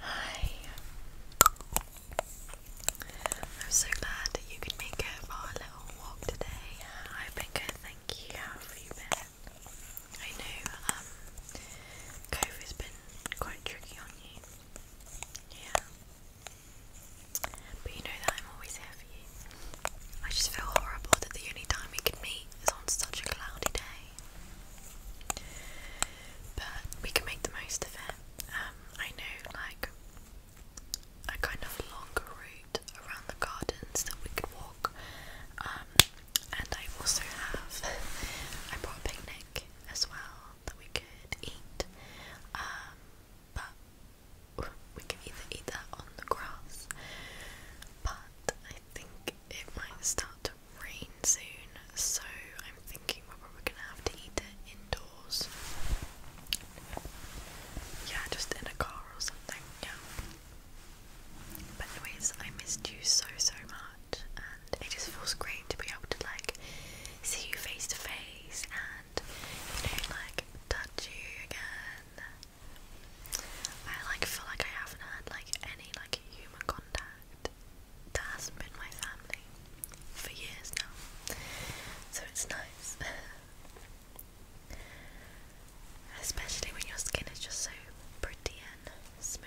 Hi. I'm so glad you could make it for a little walk today. I hope it could thank you. you I know um, COVID's been quite tricky on you. Yeah. But you know that I'm always here for you. I just feel horrible that the only time we can meet is on such a cloudy day. But we can make the most of it. Um, I know, like, a kind of longer route route around the gardens that we could walk. Um, and I also have, I brought a picnic as well that we could eat. Um, but we could either eat that on the grass. But I think it might start to rain soon, so I'm thinking we're probably gonna have to eat it indoors. Yeah, just in a car or something. Yeah. But anyways, I missed you so so much, and it just feels great to be able to like see you face to face and you know like touch you again. I like feel like I haven't had like any like human contact that hasn't been my family for years now, so it's nice. Especially when your skin is just so pretty and smooth.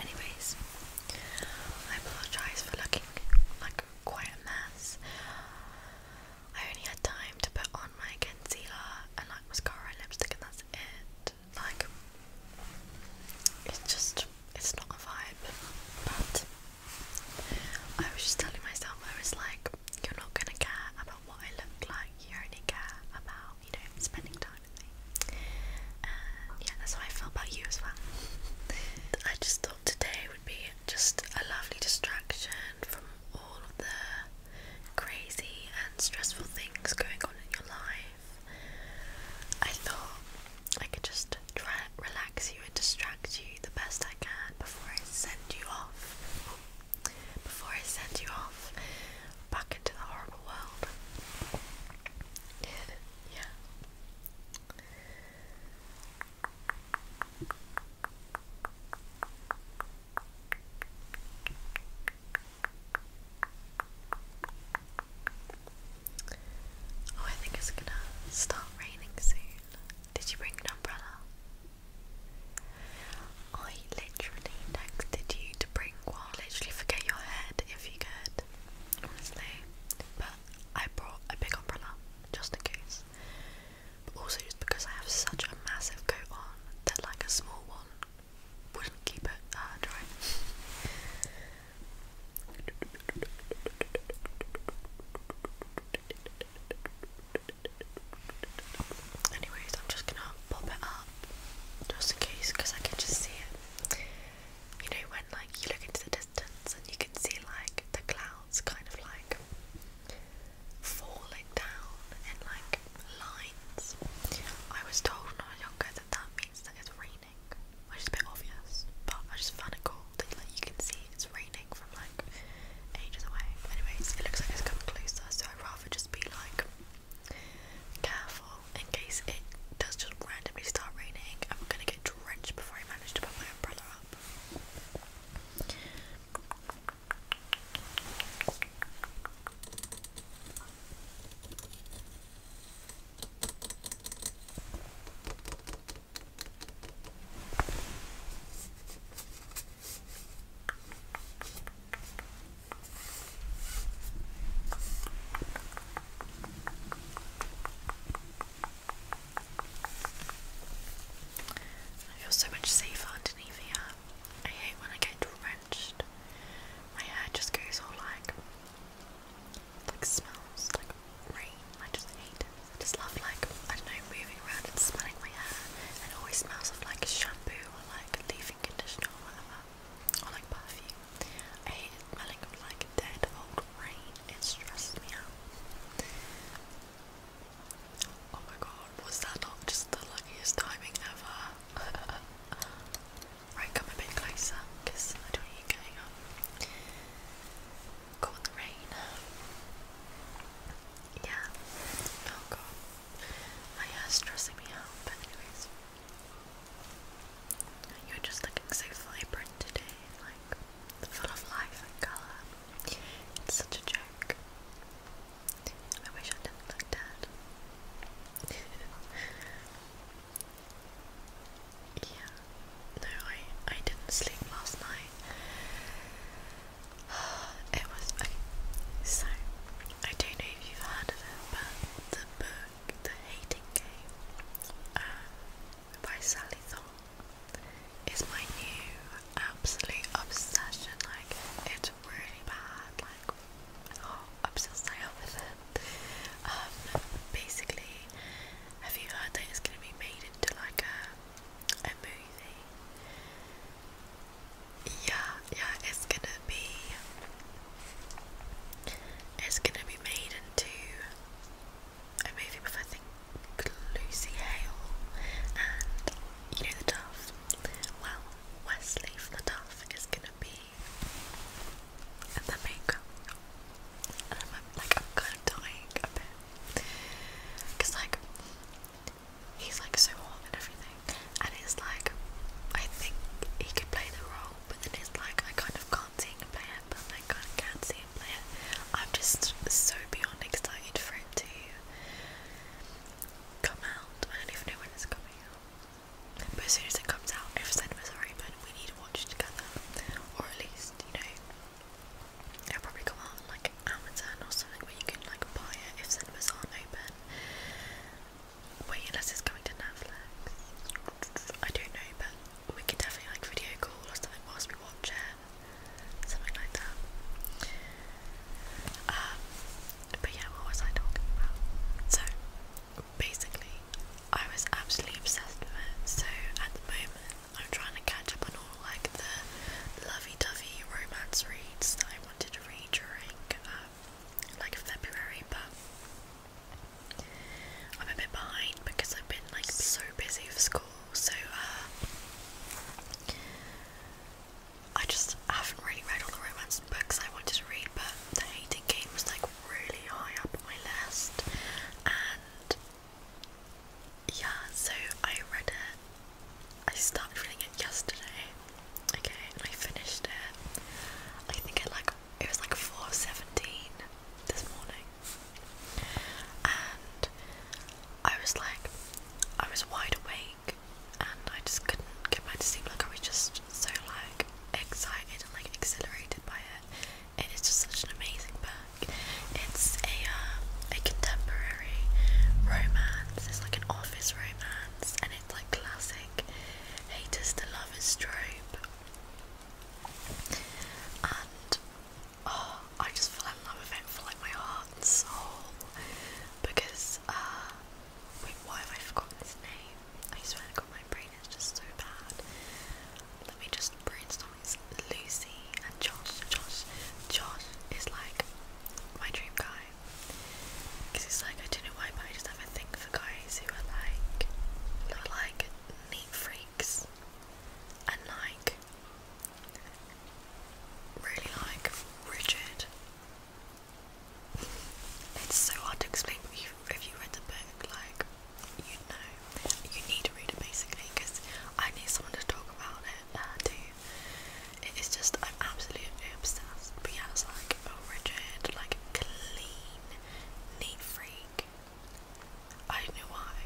Anyways, I apologise for looking like a mess. I only had time to put on my concealer and like mascara lipstick and that's it. Like, it's just, it's not a vibe. But I was just telling myself, I was like, you're not gonna care about what I look like. You only care about, you know, spending time with me. And yeah, that's how I felt about you as well. I just thought today would be just a lovely distraction from all of the crazy and stressful things going on in your life, I thought I could just try and relax you and distract you the best I can before I send you off. Before I send you off back into the horrible world. yeah. Oh, I think it's gonna start raining soon. Did you bring an umbrella? I literally texted you to bring one. Literally, forget your head if you could, honestly. But I brought a big umbrella just in case. But also, just because I have such a massive coat on that, like a small one wouldn't keep it uh, dry. Anyways, I'm just gonna pop it up just in case because I can just see it. You know, when like you look into the distance and you can see like the clouds kind of like falling down and like lines. I was told when I was younger that that means that it's raining, which is a bit obvious, but I just found it cool that like, you can see it's raining from like ages away. Anyways, it looks like it's coming closer, so I'd rather just be like careful in case it does just randomly start raining and we're gonna get drenched before I manage to put my umbrella up. I feel so much safer underneath here. I hate when I get into a my hair just goes all like, like smells like rain. I just hate it. I just love like I don't know moving around and smelling my hair. And it always smells of like shampoo or like leave-in conditioner or whatever, or like perfume. I hate smelling of like dead old rain. It stresses me out. Oh my god, was that not just the luckiest timing ever? Right, come a bit closer because I don't want you going on. Caught in the rain. Yeah. Oh god. My hair's stressing me out, but anyways. You're just looking so vibrant today, like full of life and colour. It's such a joke. I wish I didn't look dead. yeah, no, I, I didn't sleep last night. It was So, I don't know if you've heard of it, but the book, The Hating Game, um, by Sally Thorne, is my new absolute obsession. Like, it's really bad, like, oh, I'm still staying up with it. Um, basically, have you heard that it's gonna be made into like a, a movie? Yeah, yeah, it's gonna be, it's gonna be made into a movie with I think Lucy Hale and you know the Duff. Well, Wesley from the Duff is gonna be and the makeup. And I'm like, I'm kind of dying a bit. Because, like, he's like so hot and everything. And it's like, I think he could play the role, but then it's like, I kind of can't see him play it, but I kind of can see him play it. I'm just so beyond excited for it to come out. I don't even know when it's coming out. But as soon as it comes out, if cinemas are open, we need to watch it together. Or at least, you know, it'll probably come out on like Amazon or something where you can like buy it if cinemas aren't open. unless it's going to Netflix. I don't know, but we could definitely like video call or something whilst we watch it. Something like that. Um, but yeah, what was I talking about? So, basically, I was absolutely obsessed with it. So at the moment, I'm trying to catch up on all like the lovey-dovey romance reads that I wanted to read during um, like February, but I'm a bit behind because I've been like so busy with school. So uh, I just haven't really read all the romance books I wanted to read, but The Hating Game was like really high up on my list, and yeah, so I read it. I started reading it yesterday, okay, and I finished it. I think it like it was like four seventeen this morning, and I was like, I was wide awake, and I just couldn't get back to sleep. Like I was just so like excited and like exhilarated by it. It is just such an amazing book. It's a uh, a contemporary romance. It's like an office romance, and it's like classic haters to lovers trope. And oh, I just fell in love with it for like my heart and soul because uh, Wait, why have I forgotten his name? I swear to God, my brain its just so bad. Let me just brainstorm. Lucy and Josh. Josh, Josh is like my dream guy. Because it's like, I don't know why, but I just have a thing for guys who are like, who are like neat freaks. And like, really like rigid it's so hard to explain, but if you read the book, like, you know, you need to read it basically because I need someone to talk about it uh, too. It is just, I'm absolutely obsessed. But yeah, it's like a rigid, like, clean, neat freak. I don't know why.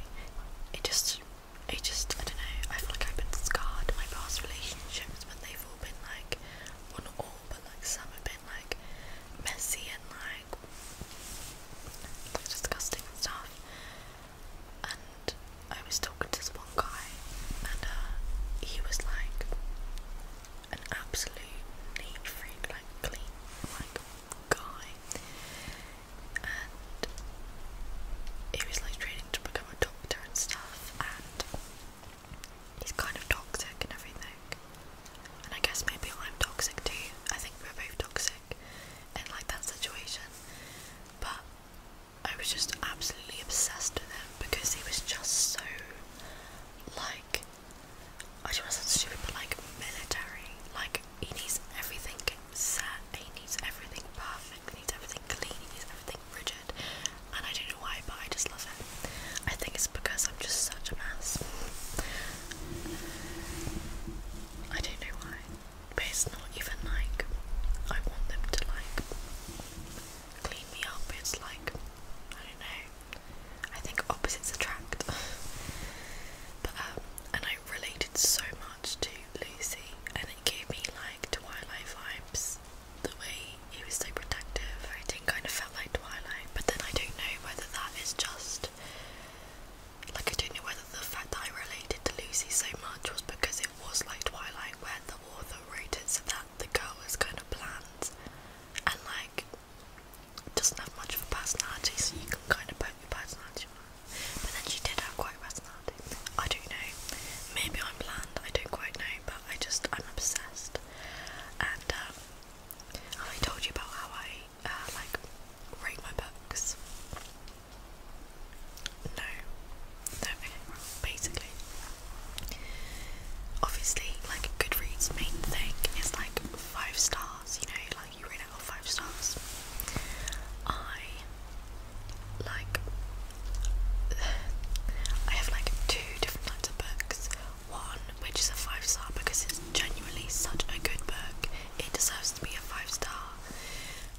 It just, it just, I don't know. I feel like I've been scarred. My past relationships, when they've all been like, well, not all, but like some have been like messy and like, disgusting stuff. And I was talking to this one guy, and uh, he was like an absolute neat freak, like clean, like guy. And he was like training to become a doctor and stuff, and he's kind of toxic and everything. And I guess maybe I'm toxic too. I think we're both toxic in like that situation. But I was just absolutely obsessed with him because he was just so like I just want to sound stupid but like military. Like he needs everything set, he needs everything perfect, he needs everything clean, he needs everything rigid. And I don't know why, but I just love it. I think it's because I'm just such a mess. I don't know why. But it's not even like I want them to like clean me up. It's like I don't know. I think opposites attract. but um and I related so much to Lucy and it gave me like Twilight vibes. The way he was so protective, everything kind of felt like Twilight, but then I don't know whether that is just like I don't know whether the fact that I related to Lucy so much was because it was like Twilight, where the author wrote it so that the girl was kind of bland and like doesn't have much of a personality, so you can kind of put your personality on her. But then she did have quite a personality. I don't know. Maybe I'm bland. I don't quite know, but I just I'm obsessed. And um, and I told you about how I uh, like rate my books. No, no, okay, well, basically. Obviously, like Goodreads' main thing is like five stars, you know, like you rate it out five stars. I like, I have like two different types of books one, which is a five star because it's genuinely such a good book. It deserves to be a five star.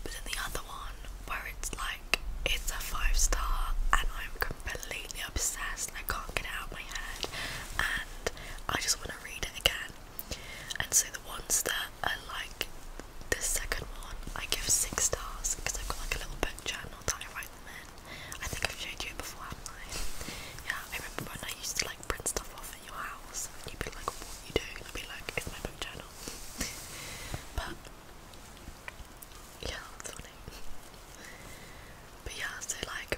But then the other one, where it's like it's a five star and I'm completely obsessed and I can't get it out of my head and I just want to read it again. And so the ones that are like the second one, I give six stars because I've got like a little book journal that I write them in. I think I've showed you it before, haven't I? Yeah, I remember when I used to like print stuff off at your house, and you'd be like, "What are you doing?" I'd be like, "It's my book journal." but yeah, that's funny. but yeah, so like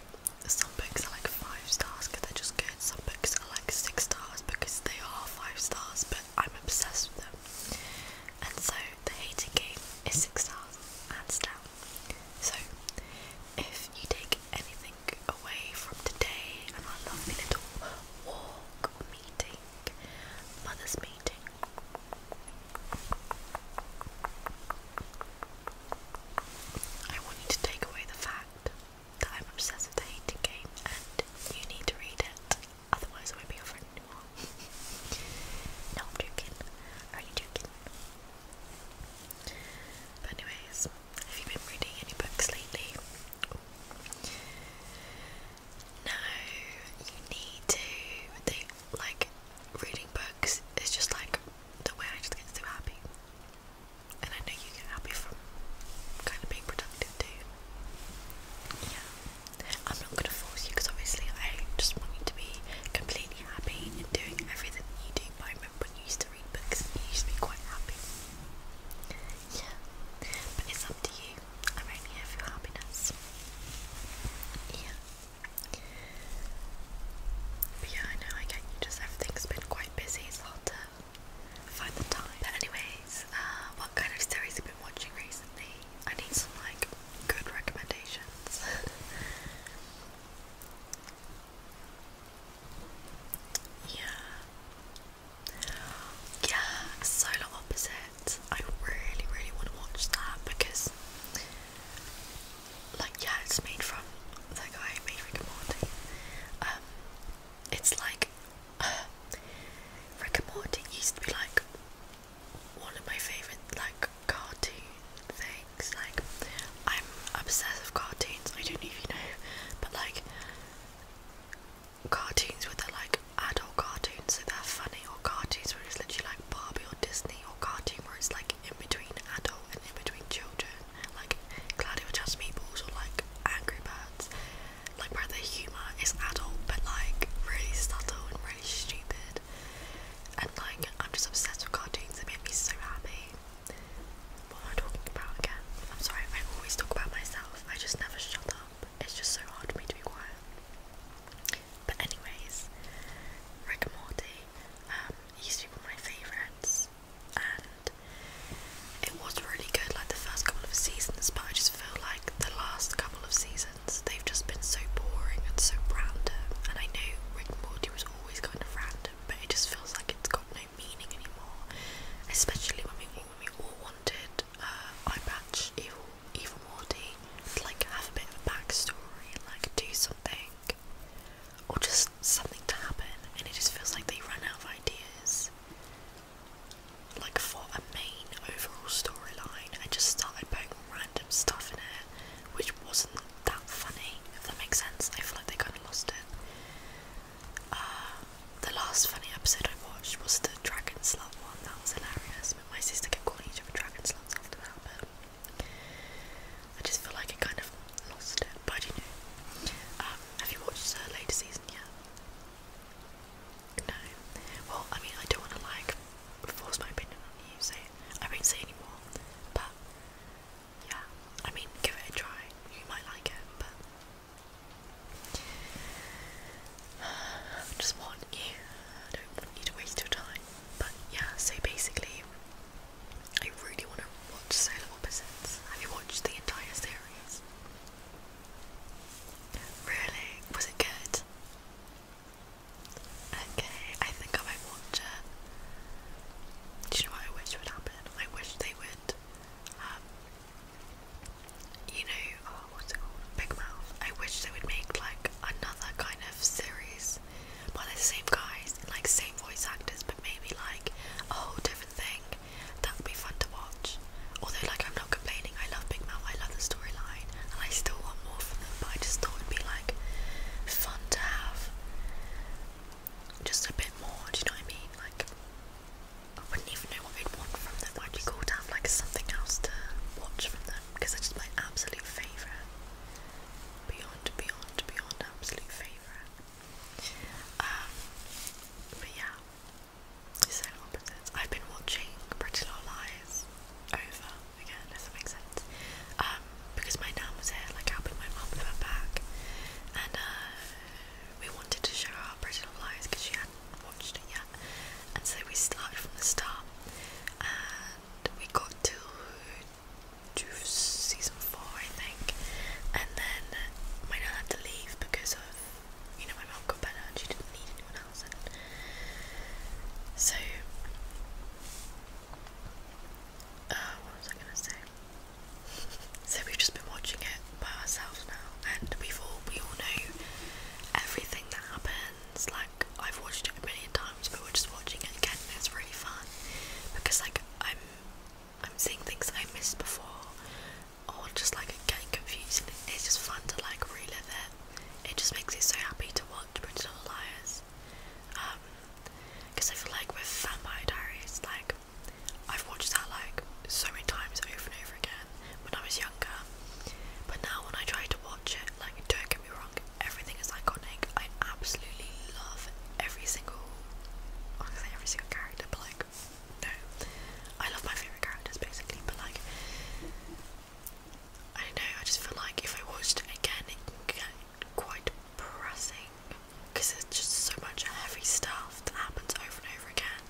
some books are like five stars because they're just good. Some books are like six stars because they are five stars, but I'm obsessed with them. And so the Hating Game is six stars, hands down. So, if you take anything away from today and our lovely little walk or meeting, mother's meeting, I want you to take away the fact that I'm obsessed with the hating game and you need to read it, otherwise I won't be your friend anymore. no, I'm joking. I'm joking. But anyways, have you been reading any books lately? No, you need to. like reading books is just like the way I just get so happy, and I know you get happy from kind of being productive too. Yeah, I'm not gonna force you because obviously I just want you to be completely happy in doing everything you do by remember when you used to read books, you used to be quite happy. Yeah, but it's up to you. I'm only here for your happiness. Yeah. But yeah, I know, I get you just, everything's been quite busy, it's hard to find the time. But anyways, uh, what kind of series have you been watching recently? I need some, like, good recommendations. Yeah. Yeah, Solar Opposite. I really, really want to watch that because, like, yeah, it's made from that guy who made Rick and Morty. Um, it's like Rick and Morty used to be like one of my favorite like cartoon things. Like, I'm obsessed with cartoons. I don't know if you know, but like, cartoons where they're like adult cartoons, so they're funny, or cartoons where it's literally like Barbie or Disney, or cartoons where it's like in between adult and in between children, like Gladio Just Meatballs or like Angry Birds, like where the humour is adult but like really subtle and really stupid. And like, I'm just obsessed with cartoons, they make me so happy. What am I talking about again? I'm sorry, I always talk about myself. I just never shut up. It's just so hard for me to be quiet. But anyways, Rick and Morty um, used to be one of my favourites, and it was really good, like the first couple of seasons. But I just feel like the last couple of seasons, they've just been so boring and so random. And I know Rick and Morty was always kind of random but it just feels like it's got no meaning anymore. Especially when we all, wanted uh, Eye Patch, Evil, Evil Morty, to like have a bit of a backstory like do something, or just something to happen, and it just feels like they run out of ideas. Like for a main overall storyline, I just started putting random stuff in it, which wasn't that funny, if that makes sense. I feel like they kind of lost it. Uh, the last funny episode I watched was the Dragon Slut one, that was hilarious. But my sister kept calling each other Dragon Sluts after that, but I just feel like it kind of lost it. But you know. Um, have you watched the later season yet? No. Well, I mean, I don't want to like force my opinion on you, so I won't say anymore. But yeah, I mean, give it a try. You might like it, but I just want you. I don't want you to waste your time. But yeah, so basically, I really want to watch Solar Opposites. Have you watched the entire series? Really? Was it good? Okay, I think I might watch it. Do you know what I wish would happen? I wish they would, um, you know, oh, what's it called? Big Mouth. I wish they would make like another kind of series by the same guys, like same voice actors, but maybe like a whole different thing. That would be fun to watch. Although, like, I'm not complaining. I love Big Mouth. I love the storyline, and I still want more from them. But I just thought it'd be like fun to have just a bit more, do you know what I mean? Like, I wouldn't even know what we would want from them. I'd be cool to have like something else to watch from them because they just my absolute favourite. Beyond, beyond, beyond absolute favourite. Um, but yeah, so I've been watching Pretty Little Lies over again, if that makes sense. Um, because my dad was here, like helping my mom with her back, and uh, we wanted to show her Bridget of Lies because she hadn't watched it yet, and so we started from the start, and we got to season four, I think, and then my dad had to leave because of you know my mom got better and she didn't need anyone else, and so. Uh, what was I gonna say? So we've just been watching it by ourselves now, and we've all we all know everything that happens. Like I've watched it a million times, but we're just watching it again. And it's really fun because like I'm I'm seeing things I missed before, or just like getting confused. it's just fun to like relive it. It just makes me so happy to watch Bridget Liars. Um, because I feel like with Vampire Diaries, like I've watched that like so many times over and over again when I was younger. But now when I try to watch it, like don't get me wrong, everything is iconic. I absolutely love every single, I every single character, but like no, I love my favorite characters basically. But like I don't know, I just feel like if I watched it again, it can get quite pressing because there's just so much heavy stuff that happens over and over again.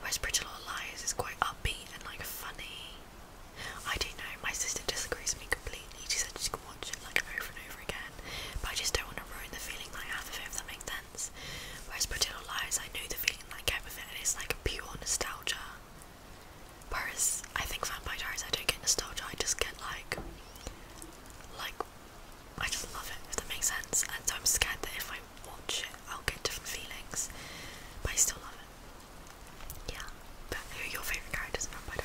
Whereas Pretty Little is quite upbeat and like funny. I don't know, my sister disagrees with me completely. She said she can watch it like over and over again, but I just don't want to ruin the feeling Like half have of it if that makes sense. Whereas Pretty Little Liars, I know the feeling like everything, and it's like pure nostalgia. Whereas I think Vampire Diaries, I don't get nostalgia, I just get like, like I just love it, if that makes sense. And so I'm scared that if I watch it, I'll get different feelings, but I still love it. Yeah, but who are your favourite characters in Vampire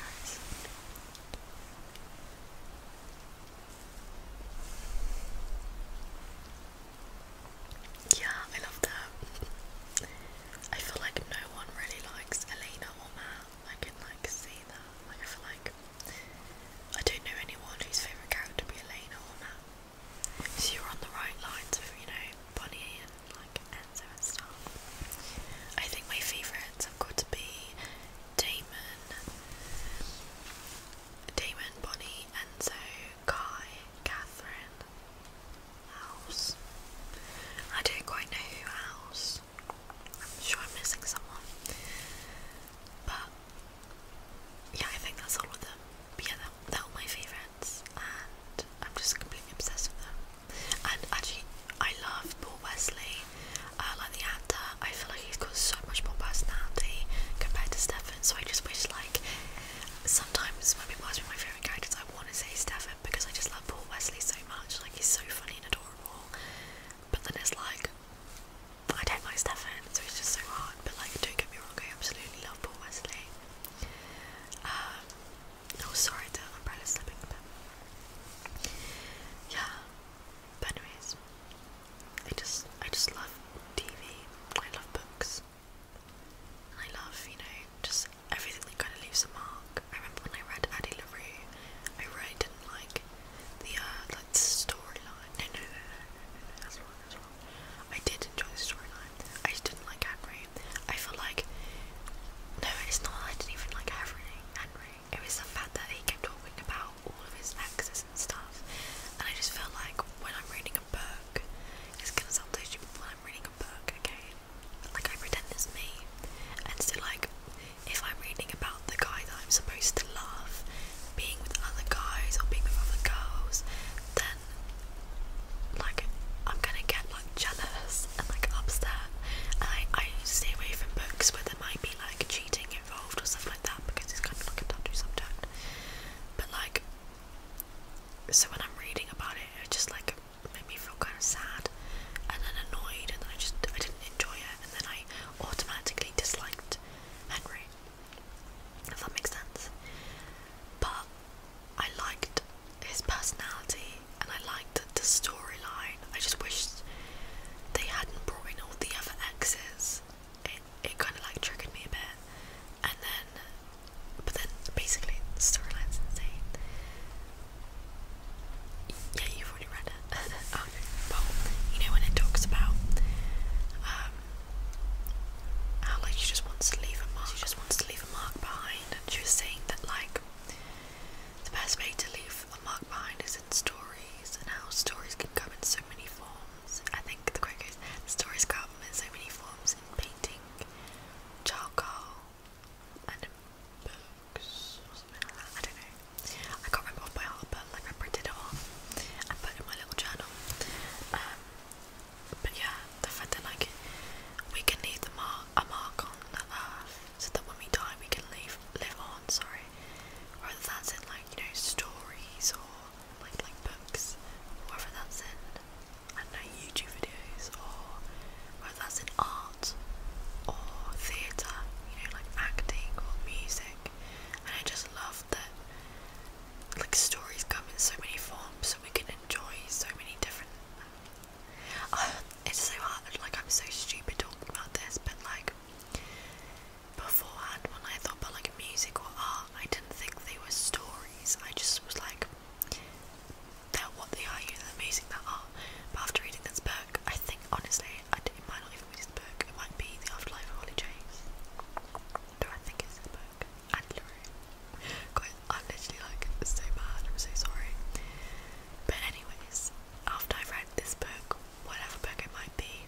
Yeah, I love that. I feel like no one really likes Elena or Matt. I can like see that. Like I like I don't know anyone whose favourite character would be Elena or Matt. So you're on the right lines with, you know, Bonnie and like Enzo and stuff. I think my favourites have got to be Damon, Damon, Bonnie, Enzo, Kai, Catherine, House. I don't quite know who else. I'm sure I'm missing someone. But yeah, I think that's all of them. yeah, they're, all my favourites and I'm just completely obsessed with them. And actually, I love Paul Wesley, uh, like the actor. I feel like he's got so much more personality compared to Stephen. so I just wish, like, sometimes when people ask me my favourite characters, I want to say Stephen, because I just love Paul Wesley so much. Like, he's so funny and adorable. But then it's like, I don't like Stefan, so it's just so hard. But like, don't get me wrong, I absolutely love Paul Wesley. Um, oh, sorry, to the umbrella's slipping. But yeah, but anyways, I just, I just love TV. I love books. I love, you know, just everything that kind of leaves a mark. I remember when I read Addie LaRue, I really didn't like the uh, like storyline. No, no, no, no, no, no, no, that's I did enjoy the storyline. I just didn't like Henry. I felt like no, it's not. I didn't even like Henry. Henry. It was the fact that he kept talking about all of his exes and stuff, and I just felt like when I'm reading a book, it's gonna sound so stupid when I'm reading a book, okay? But like I pretend it's me, and so like if I'm reading about the guy that I'm supposed to love being with other guys or being with other girls, then like I'm gonna get like jealous and like upset. And I, I stay away from books where there might be like cheating involved or something like that because it's kind of like a touchy subject. But like, so when I'm reading about it, it just like made me feel kind of sad and then annoyed, and then I just I didn't enjoy it and then I automatically disliked Henry. If that makes sense. But I liked his personality and I liked the storyline. I just wished they hadn't brought in all the other exes. It, it kind of like triggered me a bit. And then, but then basically storyline's insane. Yeah, already read it. Um, but you know when it talks about um, how like she just wants to leave a mark, she just wants to leave a mark behind, and she was saying that like the best way to leave a mark behind is in stories, and how stories can come in so many forms. I think the quote stories come in so many forms in painting, charcoal, and books, I don't know. I can't remember off by heart, but like I printed it at off and put it in my little journal. Um, but yeah, the fact that like we can leave the mark, a mark on the earth, so that when we die, we can leave live on. Sorry, whether that's in like you know stories or like like books, whether that's in I don't know YouTube videos or whether that's in art or theatre, you know like acting or music and I just love that like stories come in so many forms so we can enjoy so many different um, oh, it's so hard like I'm so stupid talking about this but like beforehand when I thought about like music or art I didn't think they were stories I just was like they what they are, you know, they're amazing, that art. But after reading this book, I think honestly, I, it might not if book. It might be The Afterlife of Holly Chase. No, I think it's his book. I'm literally like so bad, I'm so sorry. But anyways, after I've read this book, whatever book it might be,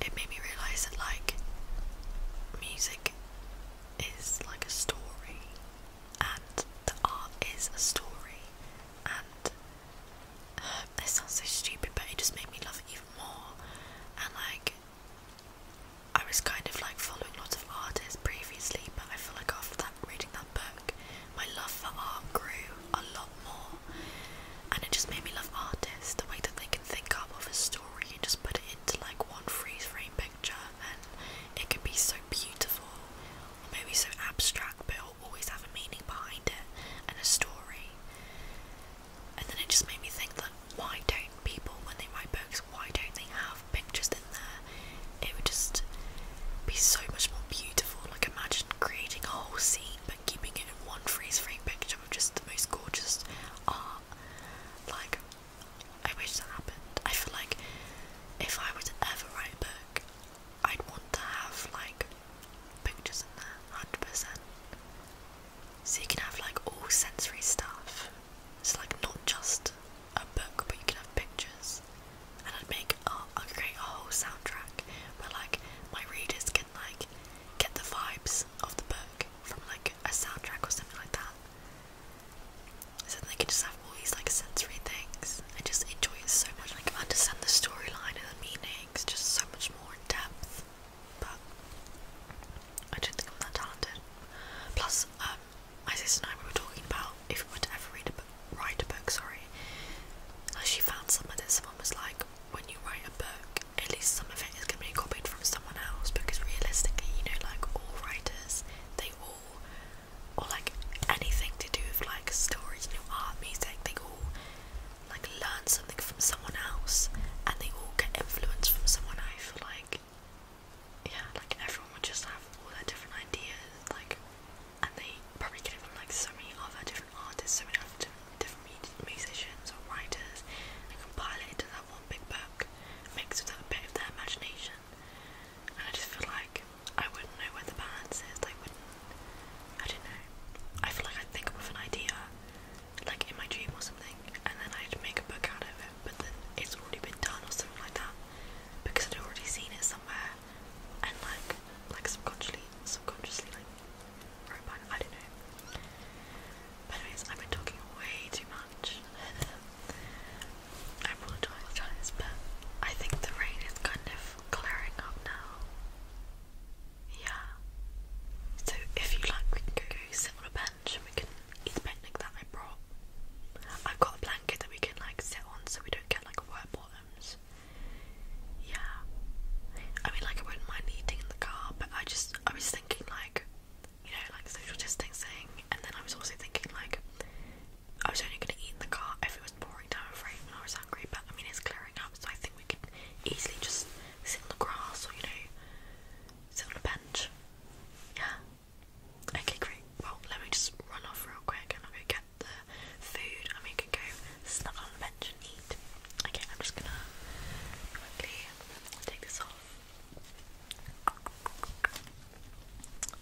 it made me realise that like music is like a story and the art is a story and um, this sounds so stupid, but it just made me love it even more. And like, I was kind of like following lots of artists previously, but I feel like after that, reading that book, my love for art grew a lot more. And it just made me love artists the way that they can think up of a story and just put it into like one freeze frame picture, and it can be so beautiful, or maybe so abstract, but always have a meaning behind it and a story. And then it just made me think that why don't people, when they write books, why don't they have pictures in there? It would just be so much more beautiful. Like imagine creating a whole scene but keeping it in one freeze frame picture of just the most gorgeous art. Like I wish that happened. I feel like if I were to ever write a book, I'd want to have like pictures in there, 100%. So you can have like all sensory stuff. It's like not just a book, but you can have pictures. And I'd make, I'd create a whole soundtrack where like my readers can like get the vibes of the book from like a soundtrack or something like that. So they can just have all these like sensory things and just enjoy it so much. Like understand the storyline and the meaning things just so much more in depth. But I don't think I'm that talented. Plus, um, my sister and I were talking about if we were to ever read a book, write a book. Sorry, she found somewhere that someone was like, when you write a book, at least some of it is gonna be copied from someone else because realistically, you know, like all writers, they all or like anything to do with like stories, new art, music, they all like learn something from someone else and they all get influence from someone I feel like yeah like everyone would just have all their different ideas like and they probably get it from like so many other different artists so many other different, different musicians or writers and compile it into that one big book mixed with that bit of their imagination and I just feel like I wouldn't know where the balance is I wouldn't I don't know. I feel like i think of an idea, like in my dream or something, and then I'd make a book out of it, but then it's already been done or something like that because I'd already seen it somewhere, and like, like subconsciously, subconsciously, like wrote I don't know. But anyways, I've been talking way too much. I apologize, but I think the rain is kind of glaring up now. Yeah. So if you like, we can go sit on a bench and we can eat the picnic that I brought. I've got a blanket that we can like sit on so we don't get like wet bottoms. Yeah. I mean, like I wouldn't mind eating in the car, but I just I was thinking like, you know, like social distancing, and then I was also thinking like. I was only going to eat in the car if it was pouring down rain and I was hungry, but I mean it's clearing up, so I think we can easily just sit on the grass or, you know, sit on a bench. Yeah. Okay, great. Well, let me just run off real quick and I'll go get the food and we can go snuggle on the bench and eat. Okay, I'm just gonna quickly take this off.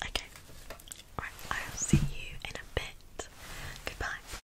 Okay. Alright, I'll see you in a bit. Goodbye.